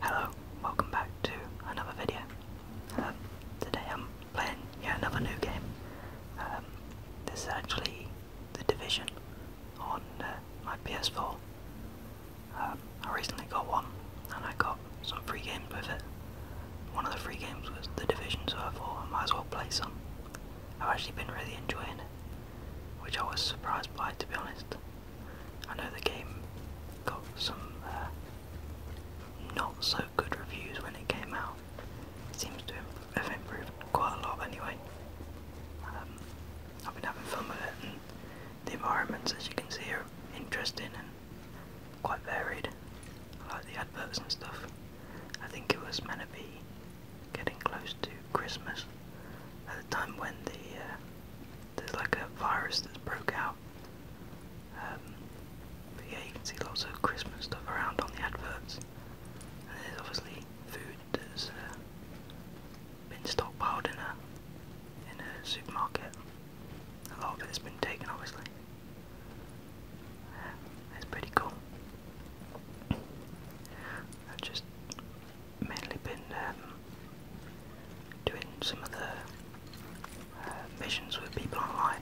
Hello, welcome back to another video. Um, today I'm playing yet another new game. Um, this is actually The Division on uh, my PS4. Um, I recently got one and I got some free games with it. One of the free games was The Division, so I thought I might as well play some. I've actually been really enjoying it which I was surprised by to be honest. I know the game got some uh, not so good reviews when it came out. seems to have improved quite a lot anyway. Um, I've been having fun with it and the environments as you can see are interesting and quite varied. I like the adverts and stuff. I think it was meant to be getting close to Christmas, at the time when the uh, there's like a virus that's broke out. Um, but yeah, you can see lots of Christmas stuff around on the adverts, there's obviously food that's uh, been stockpiled in a in a supermarket. A lot of it's been taken, obviously. it's pretty cool. just mainly been um, doing some of the uh, missions with people online.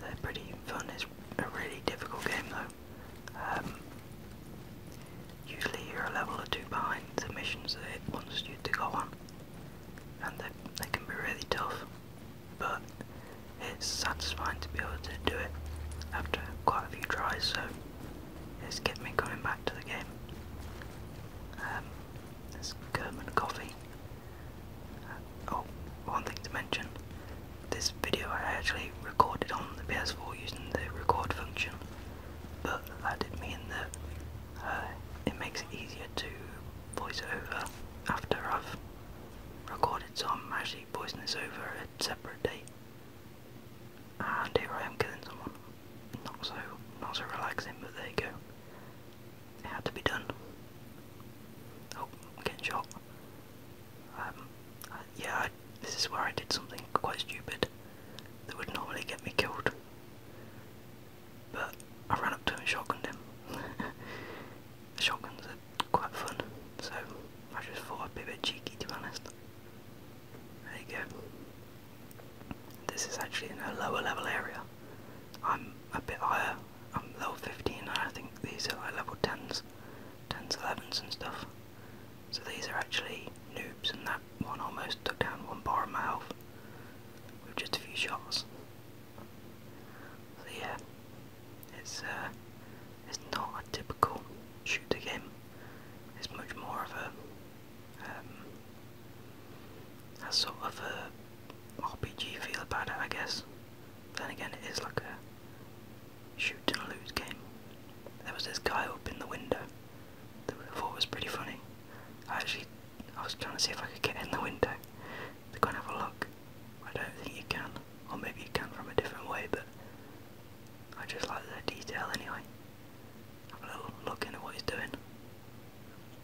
They're pretty fun. It's a really difficult game though. Um, usually you're a level or two behind the missions that it wants you to go on, and they, they can be really tough. But it's satisfying to be able to do it after quite a few tries. So it's getting me coming back to the game. This um, there's German coffee. Uh, oh, one thing to mention. This video I actually recorded on the PS4 using the record function, but that did mean that uh, it makes it easier to voice over after I've recorded, so I'm actually voicing this over a separate date and ah, here I am killing someone. Not so, not so relaxing, but there you go. It had to be done. Oh, I'm getting shot. Um, yeah, this is where I did something quite stupid that would normally get me killed. But I ran up to him and shotgunned him. Shotguns are quite fun, so I just thought a bit cheeky to be honest. There you go. This is actually in a lower level area. I'm a bit higher. I'm level 15 and I think these are like level 10s, 10s, 11s and stuff. So these are actually noobs and that one almost took down one bar of my health with just a few shots. So yeah, it's uh, it's not a typical shooter game. It's much more of a, um, a sort of a RPG feel about it, I guess. Then again, it is like a shoot and lose game. There was this guy up in the window that I was pretty funny. I actually, I was trying to see if I could get in the window to go and have a look. I don't think you can, or maybe you can from a different way, but I just like the detail anyway. Have a little look into what he's doing.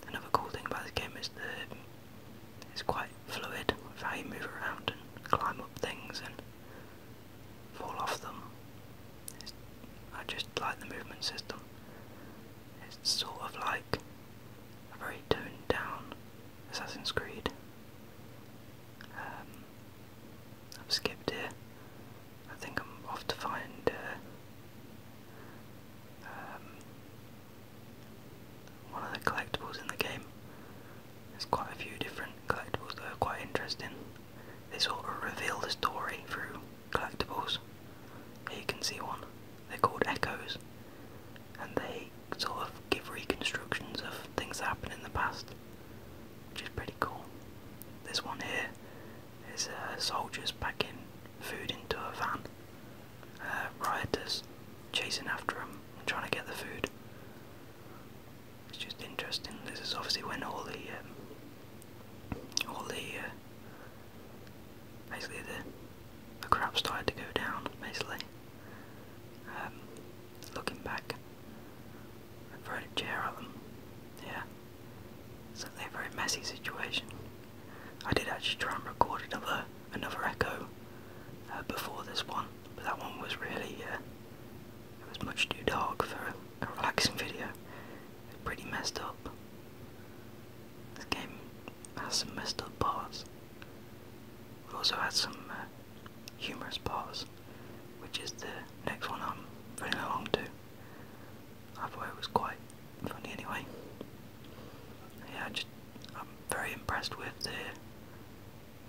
Another cool thing about this game is the it's quite fluid with how you move around and climb up things and fall off them. I just like the movement system. It's sort of like a very toned down Assassin's Creed, um, I've skipped here. I think I'm off to find uh, um, one of the collectibles in the game. There's quite a few different collectibles that are quite interesting. They sort of reveal the story through collectibles. Here you can see one. They're called Echoes, and they sort of give reconstructions of things that happened in the past which is pretty cool. This one here is uh, soldiers packing food into a van. Uh, rioters chasing after them trying to get the food. It's just interesting. This is obviously when all the um, all the uh, basically the the crap started to go down. Basically, um, looking back, I throw a chair at them. Yeah, it's certainly a very messy situation. I did actually try and record another another echo uh, before this one, but that one was really yeah, uh, it was much too dark for a, relaxing video. pretty messed up. This game has some messed up parts. We also had some uh, humorous parts, which is the next one I'm running along to. I thought it was quite funny anyway. Yeah, I am very impressed with the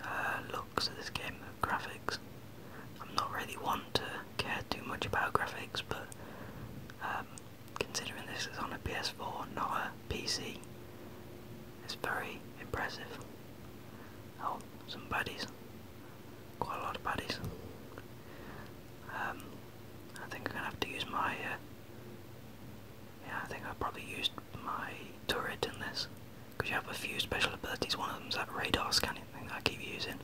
uh, looks of this game, the graphics. I'm not really one to care too much about graphics, but um, considering this is on a PS4, not a PC, it's very impressive. Oh, some baddies. Quite a lot of baddies. Um, I think I'm gonna have to use my. Uh, yeah, I think I probably used my turret in this. you have a few special abilities. One of them's that radar scanning thing I keep using,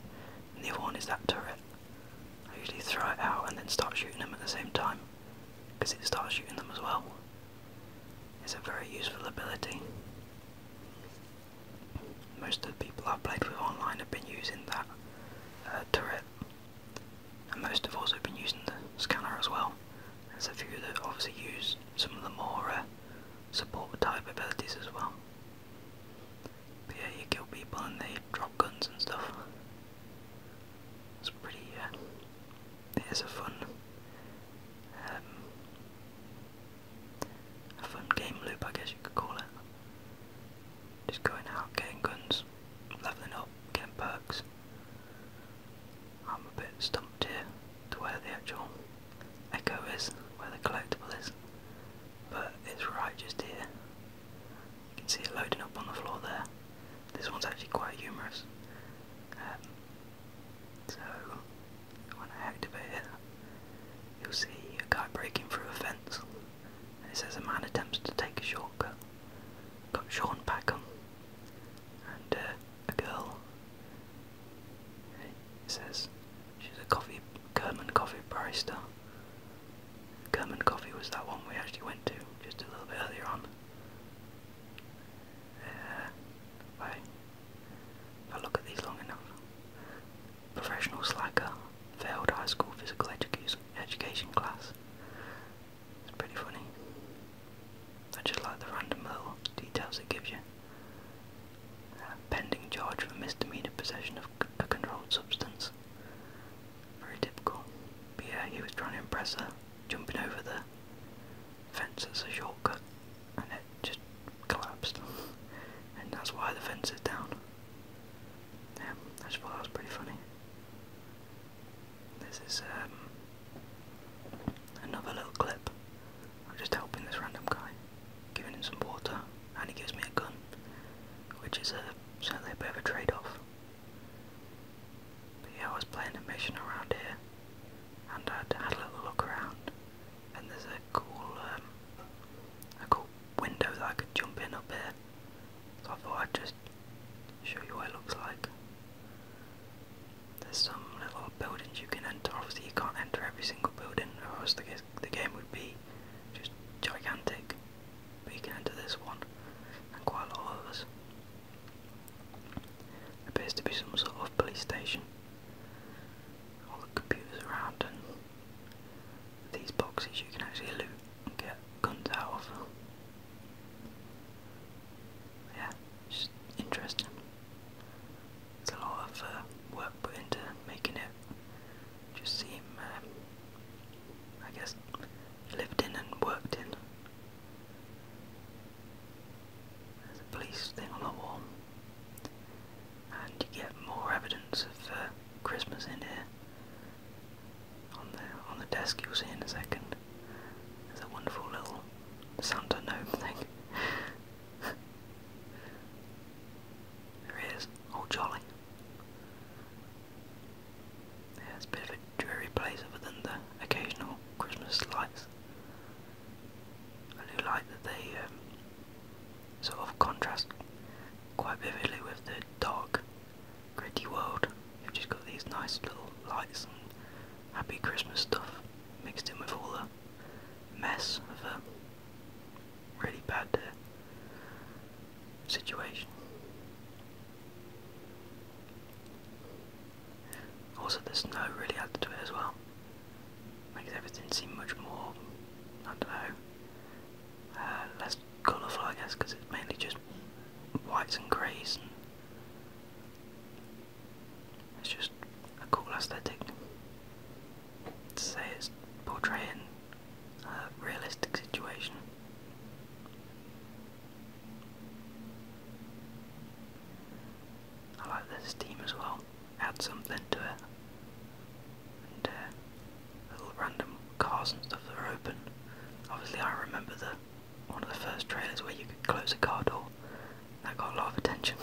the other one is that turret. I usually throw it out and then start shooting them at the same time, it starts shooting them as well. It's a very useful ability. Most of the people I've played with online have been using that uh, turret, and most have also been using the scanner as well. There's a few that obviously use some of the more uh, support type abilities as well. yeah, you kill people and they drop guns and stuff. It's pretty, uh, it is a fun um, a fun game loop, I guess you could call it. Just going out, getting guns, leveling up, getting perks. I'm a bit stumped here to where the actual echo is, where the collectible is, but it's right just here. You can see it loading up on the floor there. This one's actually quite humorous. Um, so, when I activate it, you'll see a guy breaking through a fence. it says a man attempts to take a shortcut. Got Sean Packham and uh, a girl. It says she's a coffee, Kerman coffee barista. Kerman Coffee was that one we actually went to just a little bit earlier on. Uh, bye. If I look at these long enough. Professional slacker, failed high school physical education class. It's pretty funny. I just like the random little details it gives you. pending charge for misdemeanor possession of a controlled substance. Very typical. But yeah, he was trying to impress her, jumping over the fence as a shortcut and it just collapsed. and that's why the fence is down. Yeah, I just thought that was pretty funny. This is um, another little clip. I'm just helping this random guy, giving him some water, and he gives me a gun, which is a, certainly a bit of a trade off. But yeah, I was playing a mission around here and i had a little look around and there's a cool um, a cool window that I could jump in up here so I thought I'd just show you what it looks like. There's some little buildings you can enter, obviously you can't enter every single building or else the, the game would be just gigantic but you can enter this one and quite a lot of others. Appears to be some sort of police station. All the computers around and these boxes you can actually loot and get guns out of. Yeah, just interesting. There's a lot of uh, work put into making it just seem, um, I guess, lived in and worked in. There's a police thing on the wall. And you get more evidence of uh, Christmas in here. On the on the desk you'll see in a second. There's a wonderful little Santa gnome thing. there he is, old oh, Jolly. Yeah, it's a bit of a dreary place other than the occasional Christmas lights. I do like that they um, sort of contrast quite vividly with the dark, gritty world. You've just got these nice little lights and happy Christmas stuff mixed in with all the mess of a really bad uh, situation. Also, the snow really added to it as well makes everything seem much more, I don't know, uh, less colourful I guess because it's mainly just whites and greys and it's just a cool aesthetic to say it's portraying a realistic situation. I like this team as well. Add something to it. Uh, little random cars and stuff that are open. Obviously, I remember the one of the first trailers where you could close a car door. That got a lot of attention.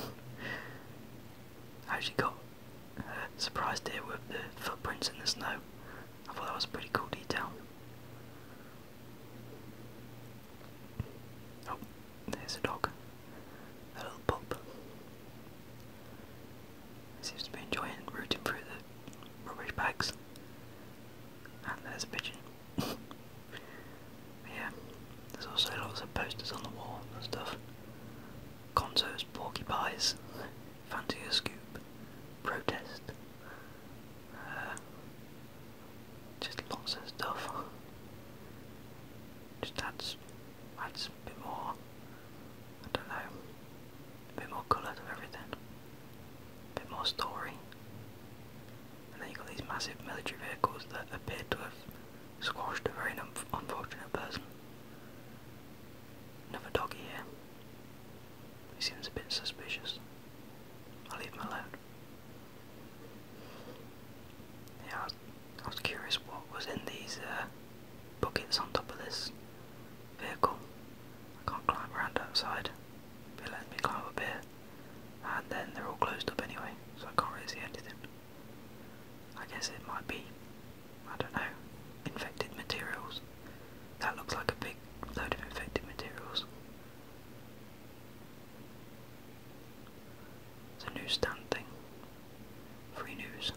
I actually got uh, surprised here with the footprints in the snow. I thought that was a pretty cool detail. Oh, there's a dog. A little pup. Seems to be enjoying rooting through the rubbish bags. And there's a pigeon. yeah, there's also lots of posters on the wall and stuff. Conto's porcupines, fancy scoop, protest. Uh, just lots of stuff. Just adds, adds a bit more, I don't know, a bit more colour to everything, a bit more story. And then you've got these massive military vehicles that appear to have squashed a very unfortunate person. Another doggy here. He seems a bit suspicious. I'll leave him alone. Yeah, I was, curious what was in these uh, buckets on top of this vehicle. I can't climb around outside. They let me climb up here. And then they're all closed up anyway, so I can't really see anything. I guess it might be, I don't know, infected materials. That looks like a big load of infected materials. It's a newsstand thing. Free news.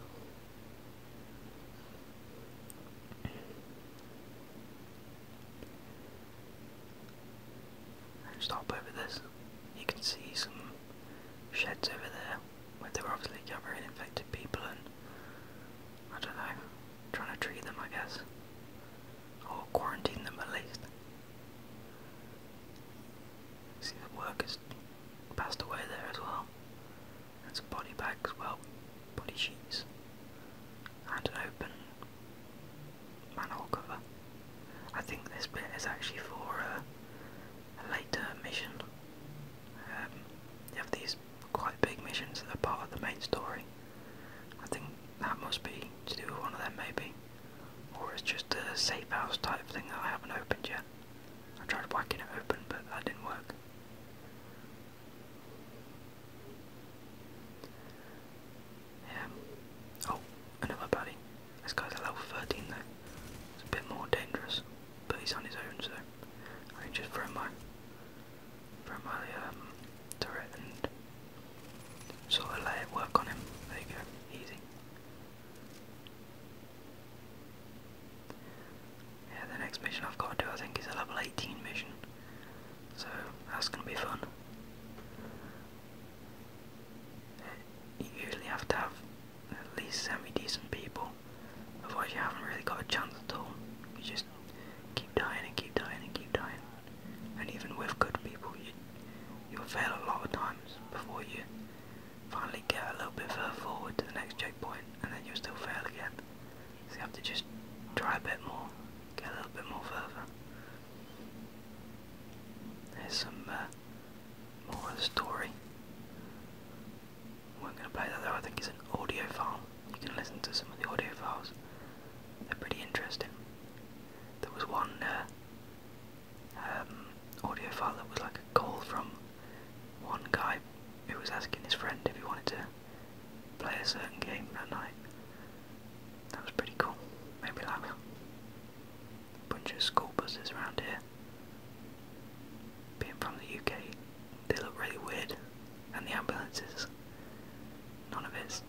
stop over this. You can see some sheds over there where they were obviously gathering infected people and I don't know, trying to treat them I guess. Or quarantine them at least. See, the workers passed away there as well. And some body bags, well, body sheets. And an open manhole cover. I think this bit is actually for uh, a, later mission. Um, you have these quite big missions that are part of the main story. I think that must be to do with one of them, maybe. Or it's just a safe house type thing that I haven't opened yet. I tried whacking it open, but that didn't work. Yeah. Oh, another buddy. This guy's level 13 though. It's a bit more dangerous, but he's on his own, so I just throw my, throw my um, turret and sort of let it work on him. There you go, easy. Yeah, the next mission I've got to do, I think, is a level 18 mission. So that's going to be fun. You usually have to have at least semi decent people, otherwise, you haven't really got a chance at all. You just keep dying and keep dying and keep dying and even with good people, you, you'll fail a lot of times before you finally get a little bit further forward to the next checkpoint, and then you'll still fail again. So you have to just try a bit more, get a little bit more further. There's some uh, more of the story. We're going to play that though, I think it's an audio file. You can listen to some of the audio files, they're pretty interesting. There was one uh, um, audio file that was like a call from one guy who was asking his friend if he wanted to play a certain game that night. That was pretty cool. Maybe like a bunch of school buses around here. Being from the UK, they look really weird, and the ambulances, none of it's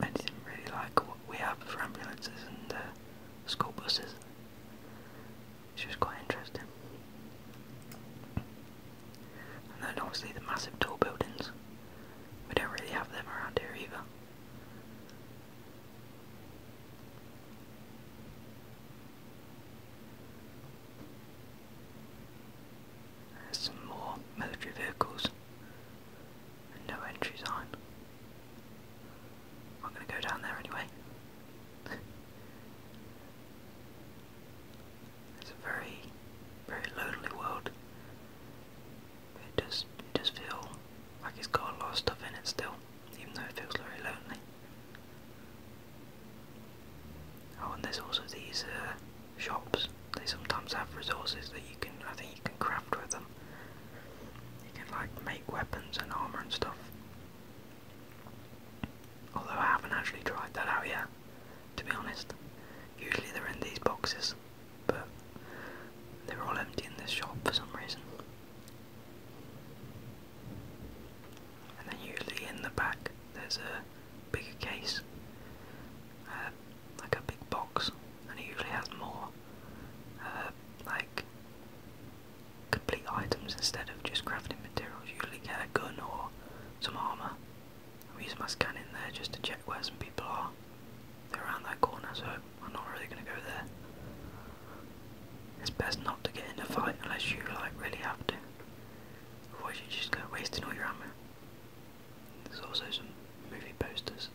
I didn't really like what we have for ambulances and uh, school buses. Which was quite interesting. And then obviously the massive tall buildings. We don't really have them around here either. some more military vehicles and no entries on. I'm going to go down there anyway. it's a very, very lonely world. It does, it does like it's got a stuff in it still, even though it feels very lonely. Oh, and there's also these uh, shops. They sometimes have resources that you can, I think you can craft with them. You can like make weapons and armor and stuff. Although I haven't actually tried that out yet, to be honest. Usually they're in these boxes, but they're all empty in this shop for some reason. And then usually in the back there's a bigger case. Uh, like a big box, and it usually has more uh, like complete items instead of just crafting materials. You usually get a gun or some armor. I'm using my scan in there just to check where some people are. They're around that corner, so I'm not really going to go there. It's best not to get in a fight unless you like really have to. Otherwise, you just go wasting all your ammo. There's also some movie posters.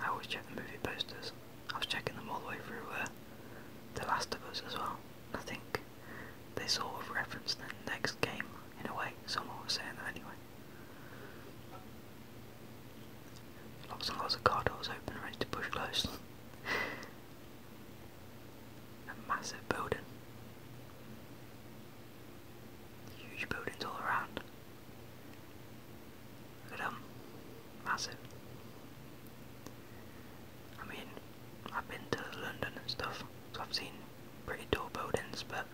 I always check the movie posters. I was checking them all the way through uh, The Last of Us as well. I think they sort of reference the next game in a way. Someone was saying that anyway. Lots and lots of car doors open, ready to push close. a massive building. Huge buildings all around. But, um, massive. I mean, I've been to London and stuff, so I've seen pretty tall buildings, but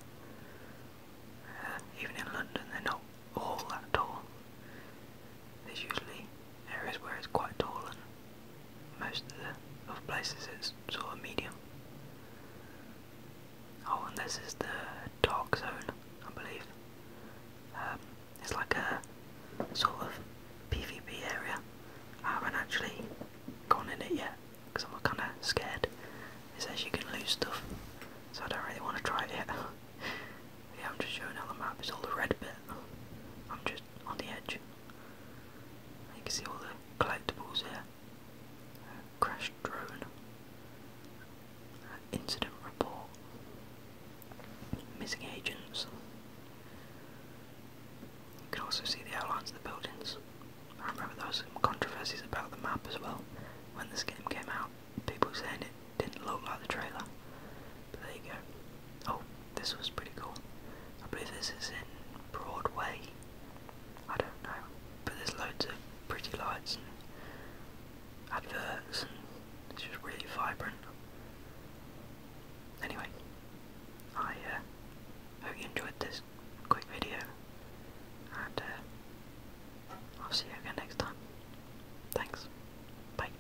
uh, even in London, they're not all that tall. There's usually areas where it's quite tall, and most of the other places it's sort of medium. Oh, and this is the dark zone, I believe. Um, it's like a sort of PvP area. I haven't actually gone in it yet because I'm kind of scared. It says you can lose stuff, so I don't really want to try it yet. yeah, I'm just showing how the map is all the red bit. I'm just on the edge. You can see all the collectibles here. Crashed drone, incident report, missing agents. You can also see the outlines of the buildings. I remember there was some controversies about the map as well. When this game came out, people saying it didn't look like the trailer. But there you go. Oh, this was pretty cool. I believe this is in Broadway, I don't know, but there's loads of pretty lights and adverts, and it's just really vibrant. Anyway, I uh, hope you enjoyed this quick video, and uh, I'll see you again next time. Thanks. Bye.